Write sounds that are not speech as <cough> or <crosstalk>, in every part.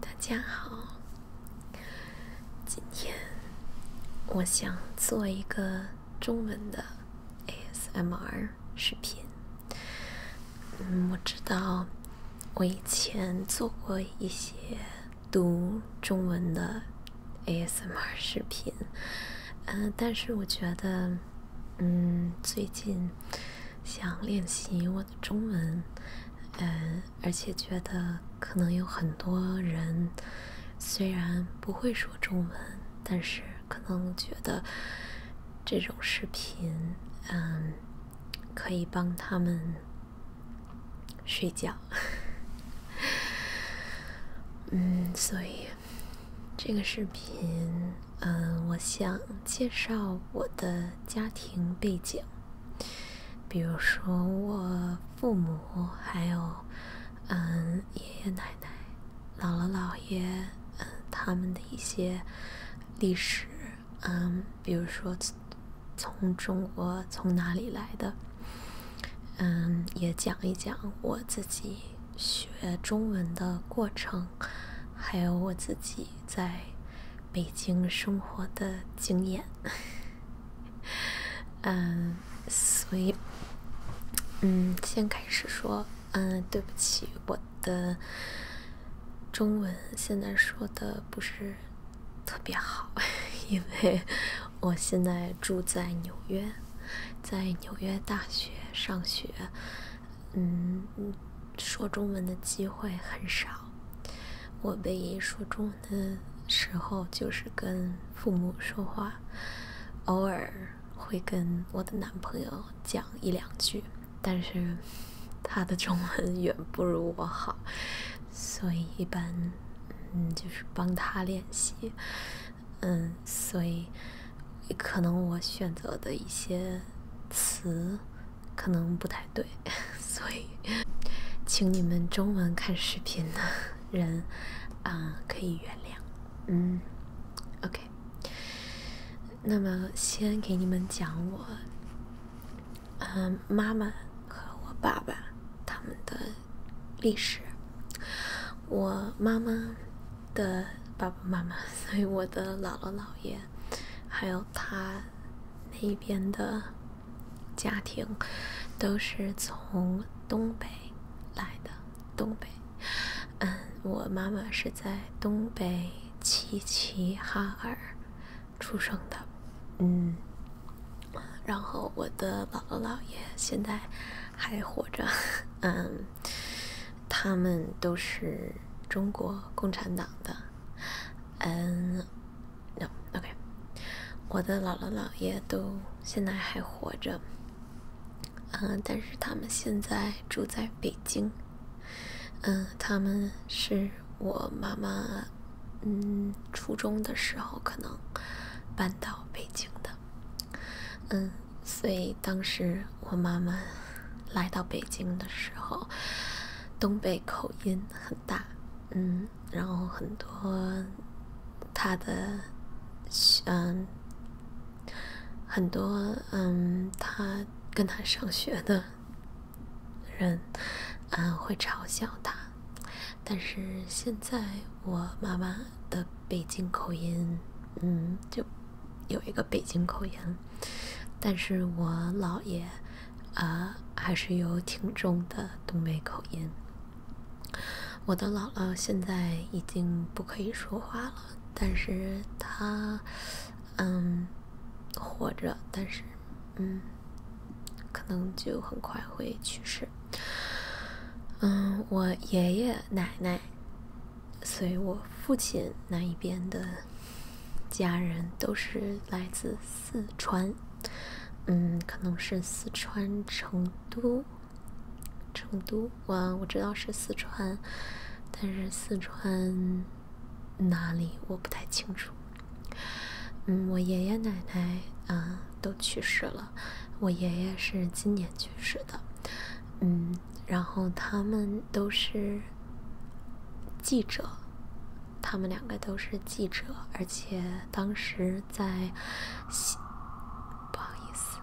大家好，今天我想做一个中文的 ASMR 视频。嗯，我知道我以前做过一些读中文的 ASMR 视频，嗯，但是我觉得，嗯，最近想练习我。中文，嗯，而且觉得可能有很多人虽然不会说中文，但是可能觉得这种视频，嗯，可以帮他们睡觉。<laughs> 嗯，所以这个视频，嗯，我想介绍我的家庭背景。比如说我父母，还有嗯爷爷奶奶、姥姥姥爷，嗯他们的一些历史，嗯比如说从中国从哪里来的，嗯也讲一讲我自己学中文的过程，还有我自己在。北京生活的经验，<laughs> 嗯，所以，嗯，先开始说，嗯，对不起，我的中文现在说的不是特别好，<laughs> 因为我现在住在纽约，在纽约大学上学。嗯，说中文的机会很少。我唯一说中文的时候，就是跟父母说话，偶尔会跟我的男朋友讲一两句，但是他的中文远不如我好，所以一般，嗯，就是帮他练习。嗯，所以可能我选择的一些词。可能不太对，<laughs> 所以，请你们中文看视频的人 <laughs> 啊，可以原谅。嗯，OK。那么，先给你们讲我，嗯，妈妈和我爸爸他们的历史。我妈妈的爸爸妈妈，所以我的姥姥姥爷。还有他那边的家庭都是从东北来的，东北。嗯，我妈妈是在东北齐齐哈尔出生的，嗯。然后我的姥姥姥爷现在还活着，嗯。他们都是中国共产党的，嗯，no，OK，我的姥姥姥爷都现在还活着，嗯，但是他们现在住在北京，嗯，他们是我妈妈，嗯，初中的时候可能搬到北京的，嗯，所以当时。我妈妈来到北京的时候，东北口音很大，嗯，然后很多她的，嗯，很多嗯，他跟他上学的人，嗯，会嘲笑他。但是现在我妈妈的北京口音，嗯，就。有一个北京口音，但是我姥爷，呃，还是有挺重的东北口音。我的姥姥现在已经不可以说话了，但是她，嗯，活着，但是，嗯，可能就很快会去世。嗯，我爷爷奶奶。所以我父亲那一边的家人都是来自四川，嗯，可能是四川成都，成都我我知道是四川，但是四川哪里我不太清楚。嗯，我爷爷奶奶啊都去世了，我爷爷是今年去世的，嗯。然后他们都是记者，他们两个都是记者，而且当时在西，不好意思，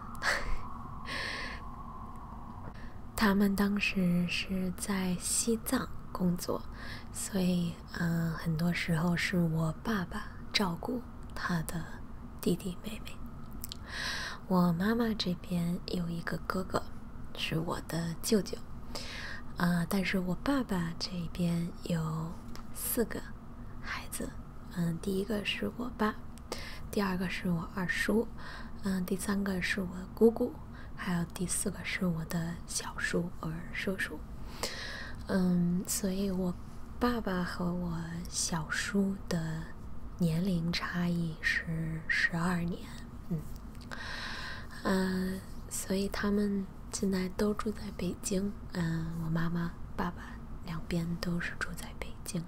他们当时是在西藏工作，所以嗯，很多时候是我爸爸照顾他的弟弟妹妹。我妈妈这边有一个哥哥，是我的舅舅。啊，但是我爸爸这边有四个孩子。嗯，第一个是我爸，第二个是我二叔，嗯，第三个是我姑姑，还有第四个是我的小叔和叔叔。嗯，所以，我爸爸和我小叔的年龄差异是十二年。嗯，呃，所以他们现在都住在北京。嗯，我妈妈、爸爸两边都是住在北京，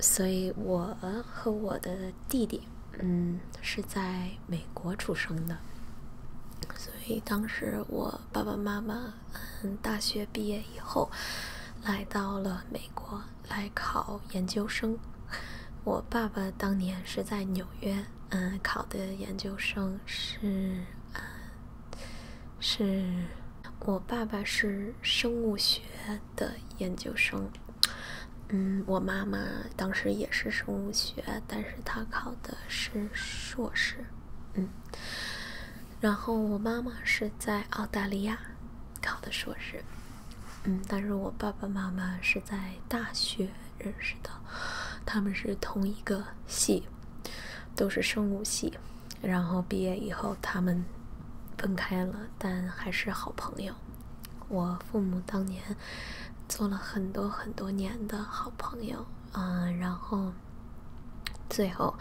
所以我和我的弟弟，嗯，是在美国出生的。所以当时我爸爸妈妈，嗯，大学毕业以后，来到了美国。来考研究生，我爸爸当年是在纽约，嗯，考的研究生是，是，我爸爸是生物学的研究生，嗯，我妈妈当时也是生物学，但是她考的是硕士，嗯。然后我妈妈是在澳大利亚考的硕士，嗯，但是我爸爸妈妈是在大学认识的，他们是同一个系，都是生物系，然后毕业以后他们分开了，但还是好朋友。我父母当年做了很多很多年的好朋友，嗯，然后最后，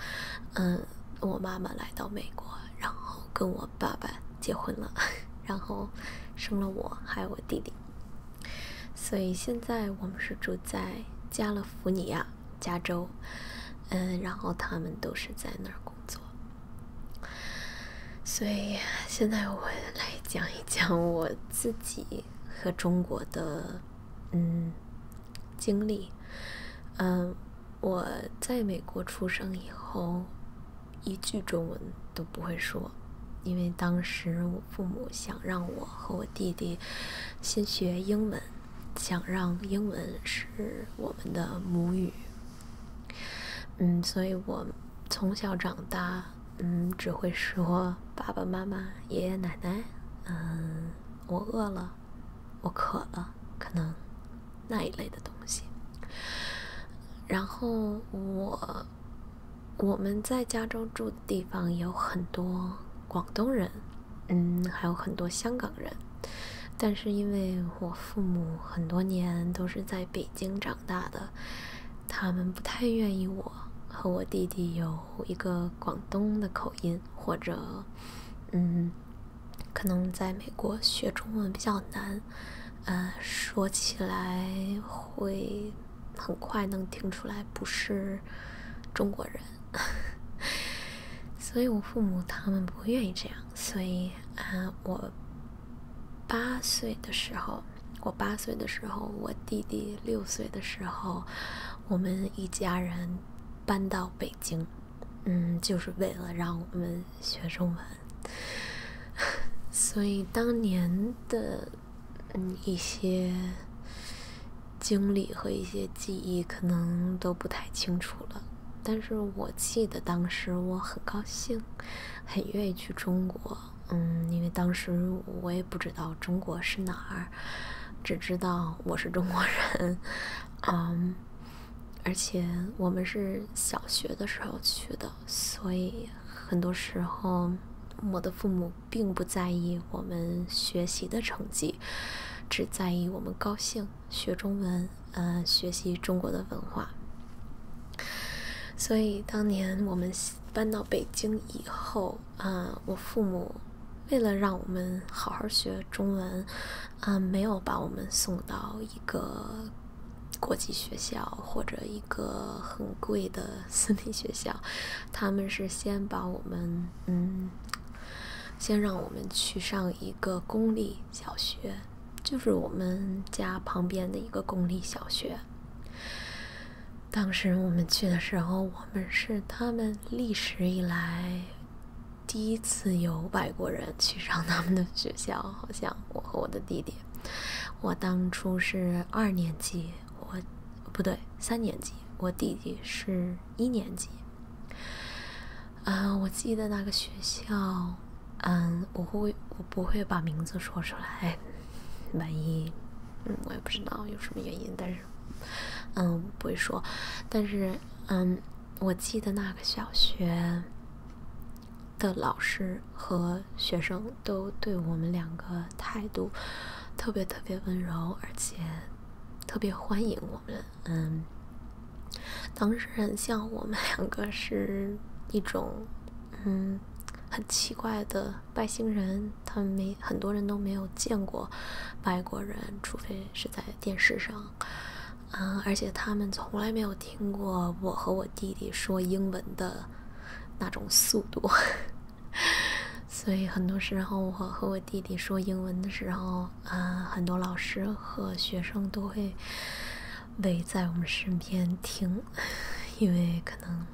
嗯。我妈妈来到美国，然后跟我爸爸结婚了，<laughs> 然后生了我，还有我弟弟。所以现在我们是住在加利福尼亚，加州。嗯，然后他们都是在那儿工作。所以现在我来讲一讲我自己和中国的嗯经历，嗯。我在美国出生以后，一句中文都不会说，因为当时我父母想让我和我弟弟先学英文，想让英文是我们的母语。嗯，所以我从小长大，嗯，只会说爸爸妈妈、爷爷奶奶，嗯，我饿了。我渴了，可能那一类的东西。然后我，我们在加州住的地方有很多广东人，嗯，还有很多香港人。但是因为我父母很多年都是在北京长大的，他们不太愿意我和我弟弟有一个广东的口音或者，嗯。可能在美国学中文比较难，呃，说起来会很快能听出来不是中国人，<laughs> 所以我父母他们不愿意这样，所以啊，我八岁的时候，我八岁的时候，我弟弟六岁的时候，我们一家人搬到北京。嗯，就是为了让我们学中文，<laughs> 所以当年的嗯一些经历和一些记忆可能都不太清楚了。但是我记得当时我很高兴，很愿意去中国。嗯，因为当时我也不知道中国是哪儿，只知道我是中国人。<laughs> 嗯。而且我们是小学的时候去的，所以很多时候我的父母并不在意我们学习的成绩，只在意我们高兴学中文，嗯，学习中国的文化。所以当年我们搬到北京以后，啊，我父母。为了让我们好好学中文，嗯，没有把我们送到一个国际学校或者一个很贵的私立学校，<laughs> 他们是先把我们，嗯，先让我们去上一个公立小学，就是我们家旁边的一个公立小学。当时我们去的时候，我们是他们历史以来。第一次有外国人去上他们的学校，好像我和我的弟弟，我当初是二年级，我不对，三年级，我弟弟是一年级。嗯，我记得那个学校，嗯，我会我不会把名字说出来，万一，嗯，我也不知道有什么原因，但是。嗯，不会说，但是嗯，我记得那个小学的老师和学生都对我们两个态度特别特别温柔，而且特别欢迎我们。嗯，当时很像我们两个是一种嗯很奇怪的外星人，他们没很多人都没有见过外国人，除非是在。电视上，嗯，而且他们从来没有听过我和我弟弟说英文的那种速度，<laughs> 所以很多时候我和我弟弟说英文的时候，嗯，很多老师和学生都会围在我们身边听，<laughs> 因为可能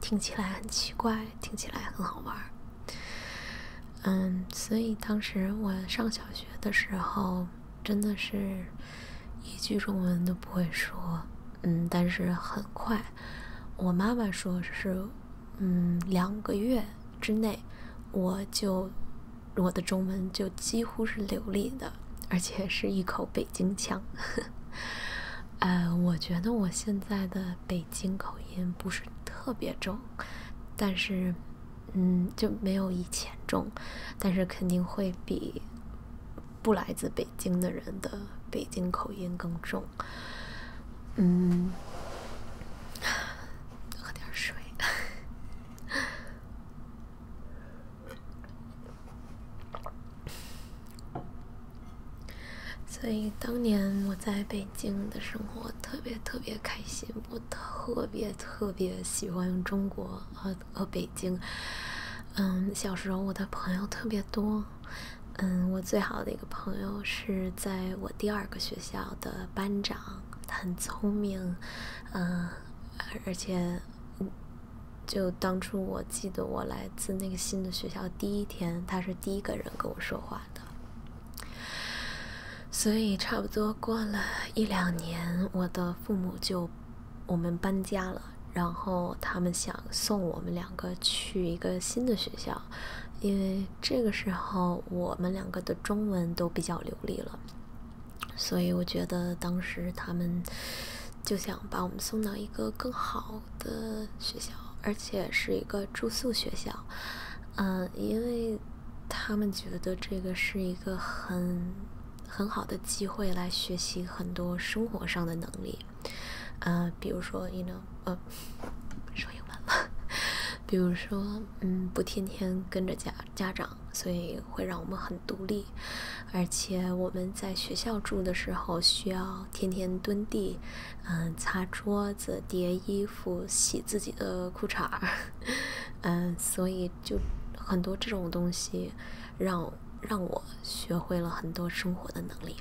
听起来很奇怪，听起来很好玩儿。嗯，所以当时我上小学的时候，真的是一句中文都不会说。嗯，但是很快，我妈妈说是，嗯，两个月之内，我就我的中文就几乎是流利的，而且是一口北京腔。<laughs> 呃，我觉得我现在的北京口音不是特别重。但是，嗯，就没有以前重，但是肯定会比不来自北京的人的北京口音更重。嗯，喝点水。<laughs> 所以当年我在北。京的生活特别特别开心，我特别特别喜欢中国和和北京。嗯，小时候我的朋友特别多。嗯，我最好的一个朋友是在我第二个学校的班长，他很聪明。嗯，而且，就当初我记得，我来自那个新的学校第一天，他是第一个人跟我说话的。所以差不多过了一两年，我的父母就我们搬家了。然后他们想送我们两个去一个新的学校，因为这个时候我们两个的中文都比较流利了。所以我觉得当时他们就想把我们送到一个更好的学校，而且是一个住宿学校。嗯，因为他们觉得这个是一个很很好的机会来学习很多生活上的能力，啊，比如说，你能呃说英文了，<laughs> 比如说，嗯，不天天跟着家家长，所以会让我们很独立，而且我们在学校住的时候需要天天蹲地，嗯，擦桌。子叠衣服、洗自己的裤衩儿，嗯，所以就很多这种东西，让让我学会了很多生活的能力。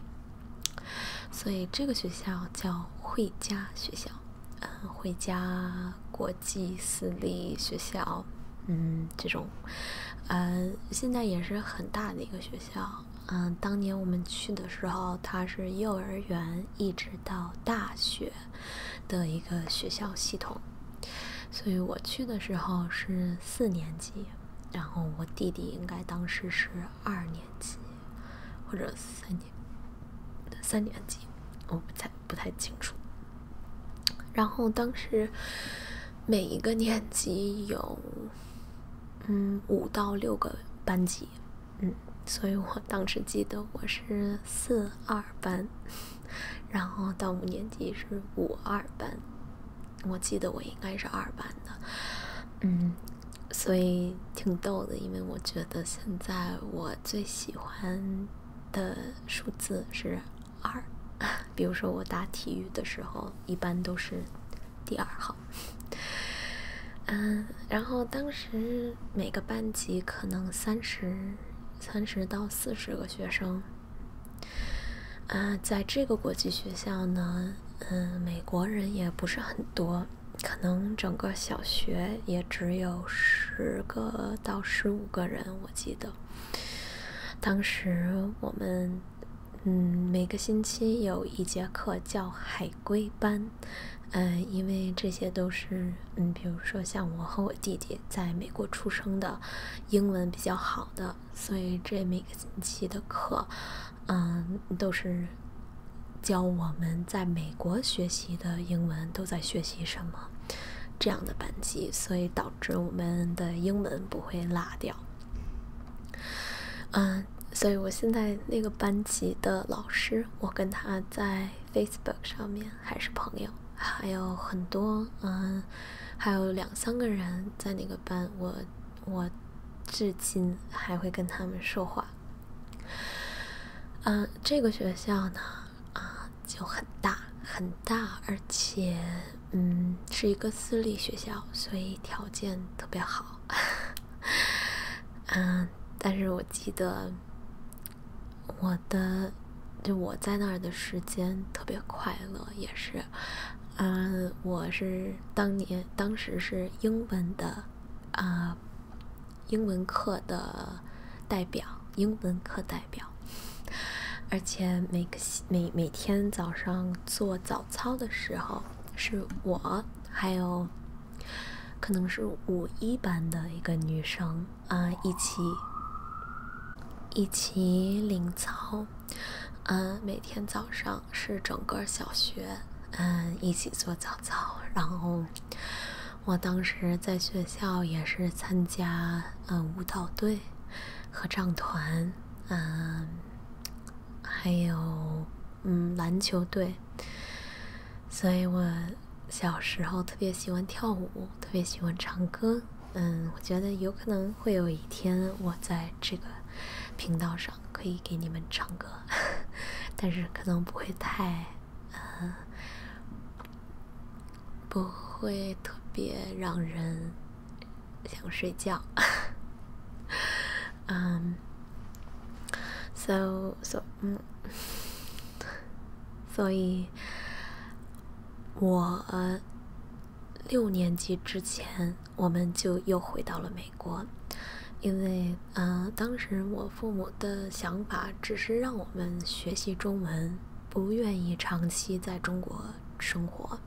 所以这个学校叫汇佳学校，嗯，汇佳国际私立学校，嗯，这种，嗯，现在也是很大的一个学校。嗯，当年我们去的时候，它是幼儿园一直到大学的一个学校系统，所以我去的时候是四年级，然后我弟弟应该当时是二年级或者三年三年级，我不太不太清楚。然后当时每一个年级有嗯五到六个班级。嗯，所以我当时记得我是四二班，<laughs> 然后到五年级是五二班，我记得我应该是二班的，嗯，所以挺逗的，因为我觉得现在我最喜欢的数字是二，<laughs> 比如说我打体育的时候一般都是。第二号，嗯，然后当时每个班级可能三十、三十到四十个学生，嗯，在这个国际学校呢，嗯，美国人也不是很多，可能整个小学也只有十个到十五个人，我记得，当时我们。嗯，每个星期有一节课叫海归班，嗯，因为这些都是嗯，比如说像我和我弟弟在美国出生的，英文比较好的，所以这每个星期的课，嗯，都是教我们在美国学习的英文都在学习什么这样的班级，所以导致我们的英文不会落掉，嗯。所以，我现在那个班级的老师，我跟他在 Facebook 上面还是朋友，还有很多，嗯，还有两三个人在那个班，我我至今还会跟他们说话。嗯，这个学校呢，啊，就很大很大，而且，嗯，是一个私立学校，所以条件特别好。<laughs> 嗯，但是我记得我的就我在那儿的时间特别快乐，也是，嗯，我是当年当时是英文的啊，英文课的代表，英文课代表，<laughs> 而且每个每每天早上做早。操的时候是我还有，可能是五一班的一个女生，啊，一起一起领操，嗯，每天早上是整个小学，嗯，一起做早操，然后我当时在学校也是参加嗯舞蹈队合唱团，嗯。还有，嗯，篮球队。所以我小时候特别喜欢跳舞，特别喜欢唱歌。嗯，我觉得有可能会有一天，我在这个频道上可以给你们唱歌，<laughs> 但是可能不会太，嗯不会特别让人。想睡觉。嗯，so so，嗯，所以，我六年级之前，我们就又回到了美国，因为，嗯，当时我父母的想法只是让我们学习中文，不愿意长期在中国生活，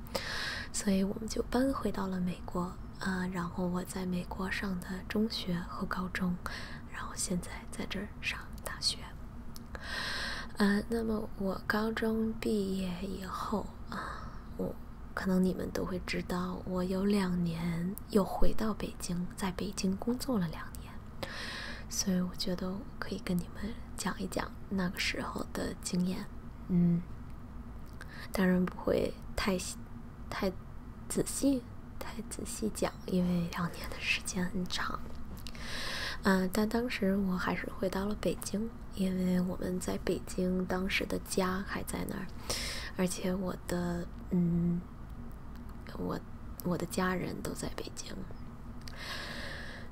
所以我们就搬回到了美国。呃，然后我在美国上的中学和高中，然后现在在这儿上大学。呃，那么我高中毕业以后啊，我可能你们都会知道，我有两年又回到北京，在北京工作了两年，所以我觉得我可以跟你们讲一讲那个时候的经验。嗯，当然不会太太仔细、太仔细讲，因为两年的时间很长。嗯，但当时我还是回到了北京，因为我们在北京当时的家还在那儿，而且我的嗯，我我的家人都在北京，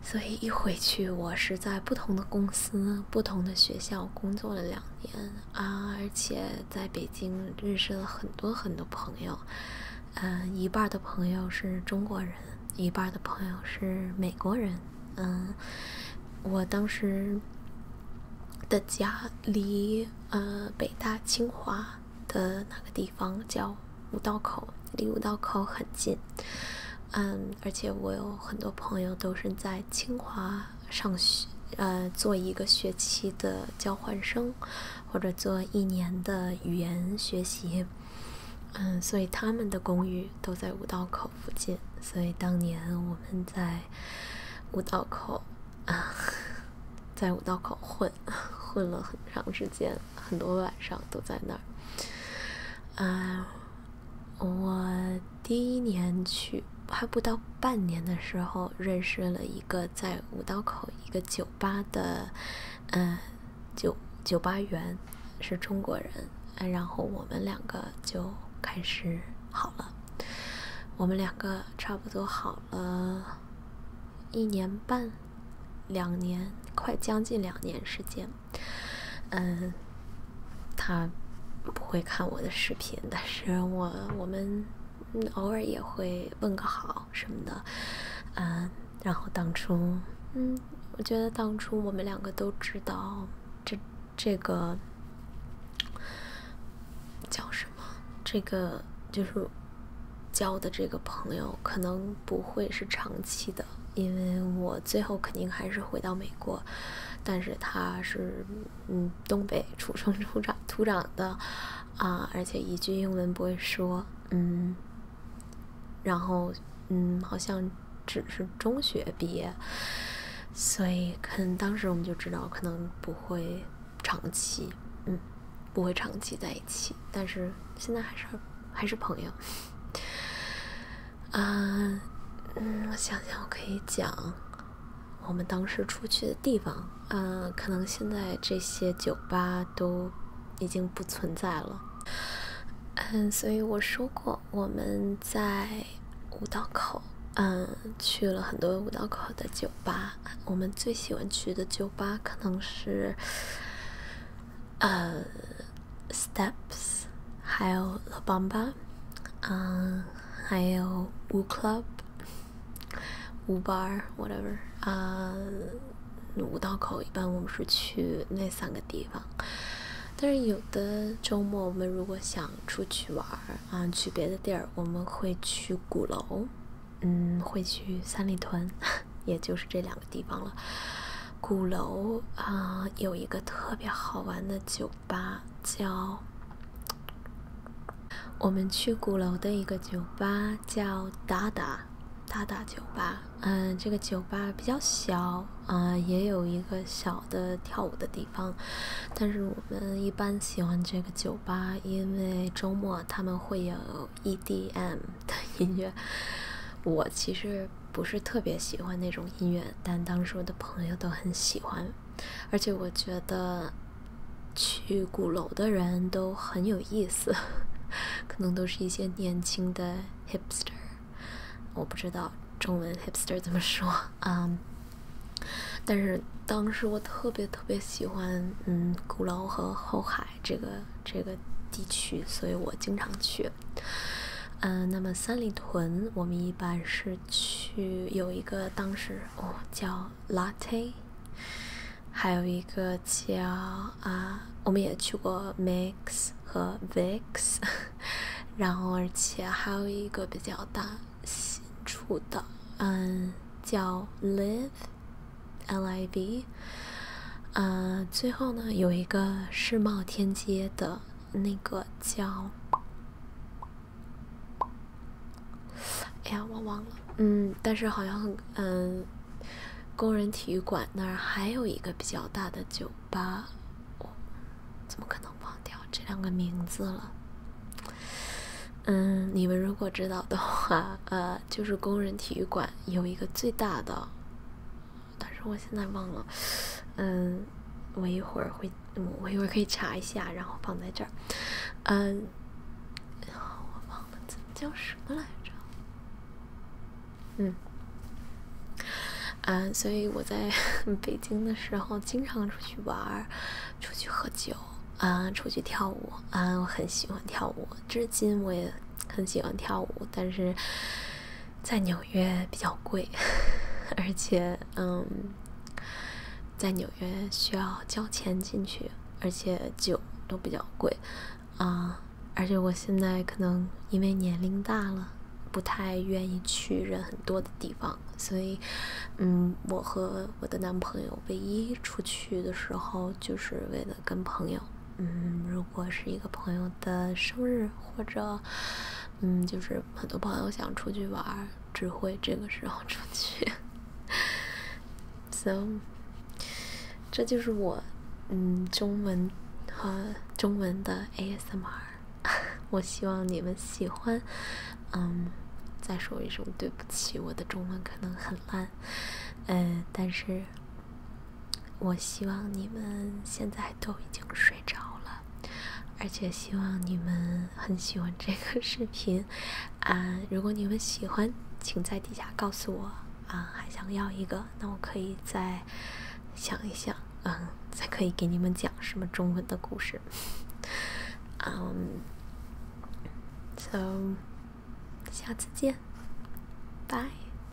所以一回去我是在不同的公司。不同的学校工作了两年啊，而且在北京认识了很多很多朋友，嗯，一半的朋友是中国人，一半的朋友是美国人，嗯，我当时的家离呃北大清华的那个地方叫五道口，离五道口很近。嗯，而且我有很多朋友都是在清华上学，呃，做一个学期的交换生，或者做一年的语言学习。嗯，所以他们的公寓都在五道口附近。所以当年我们在五道口啊，在五道口混混了很长时间，很多晚上都在那儿。嗯，我。第一年去还不到半年的时候，认识了一个在五道口一个酒吧的，呃，酒酒吧员，是中国人，然后我们两个就开始好了。我们两个差不多好了，一年半，两年，快将近两年时间。嗯，他不会看我的视频，但是我我们偶尔也会问个好什么的，嗯，然后当初，嗯，我觉得当初我们两个都知道这这个叫什么，这个就是交的这个朋友可能不会是长期的，因为我。最后肯定还是回到美国，但是他是，嗯，东北土生土长土长的，啊，而且一句英文不会说，嗯，然后，嗯，好像只是中学毕业，所以可能当时我们就知道可能不会长期，嗯，不会长期在一起，但是现在还是还是朋友。啊，嗯，我想想，我可以讲我们当时出去的地方。嗯，可能现在这些酒吧都已经不存在了。嗯，所以我说过，我们在五道口，嗯，去了很多五道口的酒吧。我们最喜欢去的酒吧可能是，呃。Steps，还有拉班巴，啊，还有舞 club，舞 bar whatever，啊，五道口一般我们是去那三个地方，但是有的周末我们如果想出去玩儿啊，去别的地儿，我们会去鼓楼，嗯，会去三里屯，<laughs> 也就是这两个地方了。鼓楼啊，有一个特别好玩的酒吧，叫我们去鼓楼的一个酒吧叫达达，达达酒吧。嗯，这个酒吧比较小，啊，也有一个小的跳舞的地方，但是我们一般喜欢这个酒吧，因为周末他们会有 EDM 的音乐。我其实。不是特别喜欢那种音乐，但当时我的朋友都很喜欢，而且我觉得去鼓楼的人都很有意思，<laughs> 可能都是一些年轻的 hipster，我不知道中文 hipster 怎么说，嗯，但是当时我特别特别喜欢，嗯，鼓楼和后海这个这个地区，所以我经常去。嗯，那么三里屯，我们一般是去有一个当时哦叫 Latte，还有一个叫啊，我们也去过 Mix 和 Vix，<laughs> 然后而且还有一个比较大新出的，嗯，叫 Live，L I V，嗯，最后呢有一个世贸天阶的。那个叫，哎呀，我忘了。嗯，但是好像嗯，工人体育馆那儿还有一个比较大的酒吧。我怎么可能忘掉这两个名字了？嗯，你们如果知道的话，呃，就是工人体育馆有一个最大的。但是我现在忘了，嗯，我一会儿会，我一会儿可以查一下，然后放在这儿，嗯，我忘了这叫什么来着，嗯，啊，所以我在 <laughs> 北京的时候经常出去玩，出去喝酒，啊，出去跳舞，啊，我很喜欢跳舞，至今我也很喜欢跳舞，但是在牛。纽约比较贵，而且，嗯，在纽约需要交钱进去，而且酒都比较贵，啊，而且我现在可能因为年龄大了，不太愿意去人很多的地方，所以，嗯，我和我的男朋友唯一出去的时候，就是为了跟朋友，嗯。我是一个朋友的生日，或者，嗯，就是很多朋友想出去玩，只会这个时候出去。<laughs> so，这就是我，嗯，中文和中文的 ASMR。<laughs> 我希望你们喜欢。嗯，再说一声对不起，我的中文可能很烂，呃，但是。我希望你们现在都已经睡着了，而且希望你们很喜欢这个视频。啊，如果你们喜欢，请在底下告诉我。啊，还想要一个，那我可以再想一想。嗯，才可以给你们讲什么中文的故事。<laughs> 嗯，so 下次见，拜。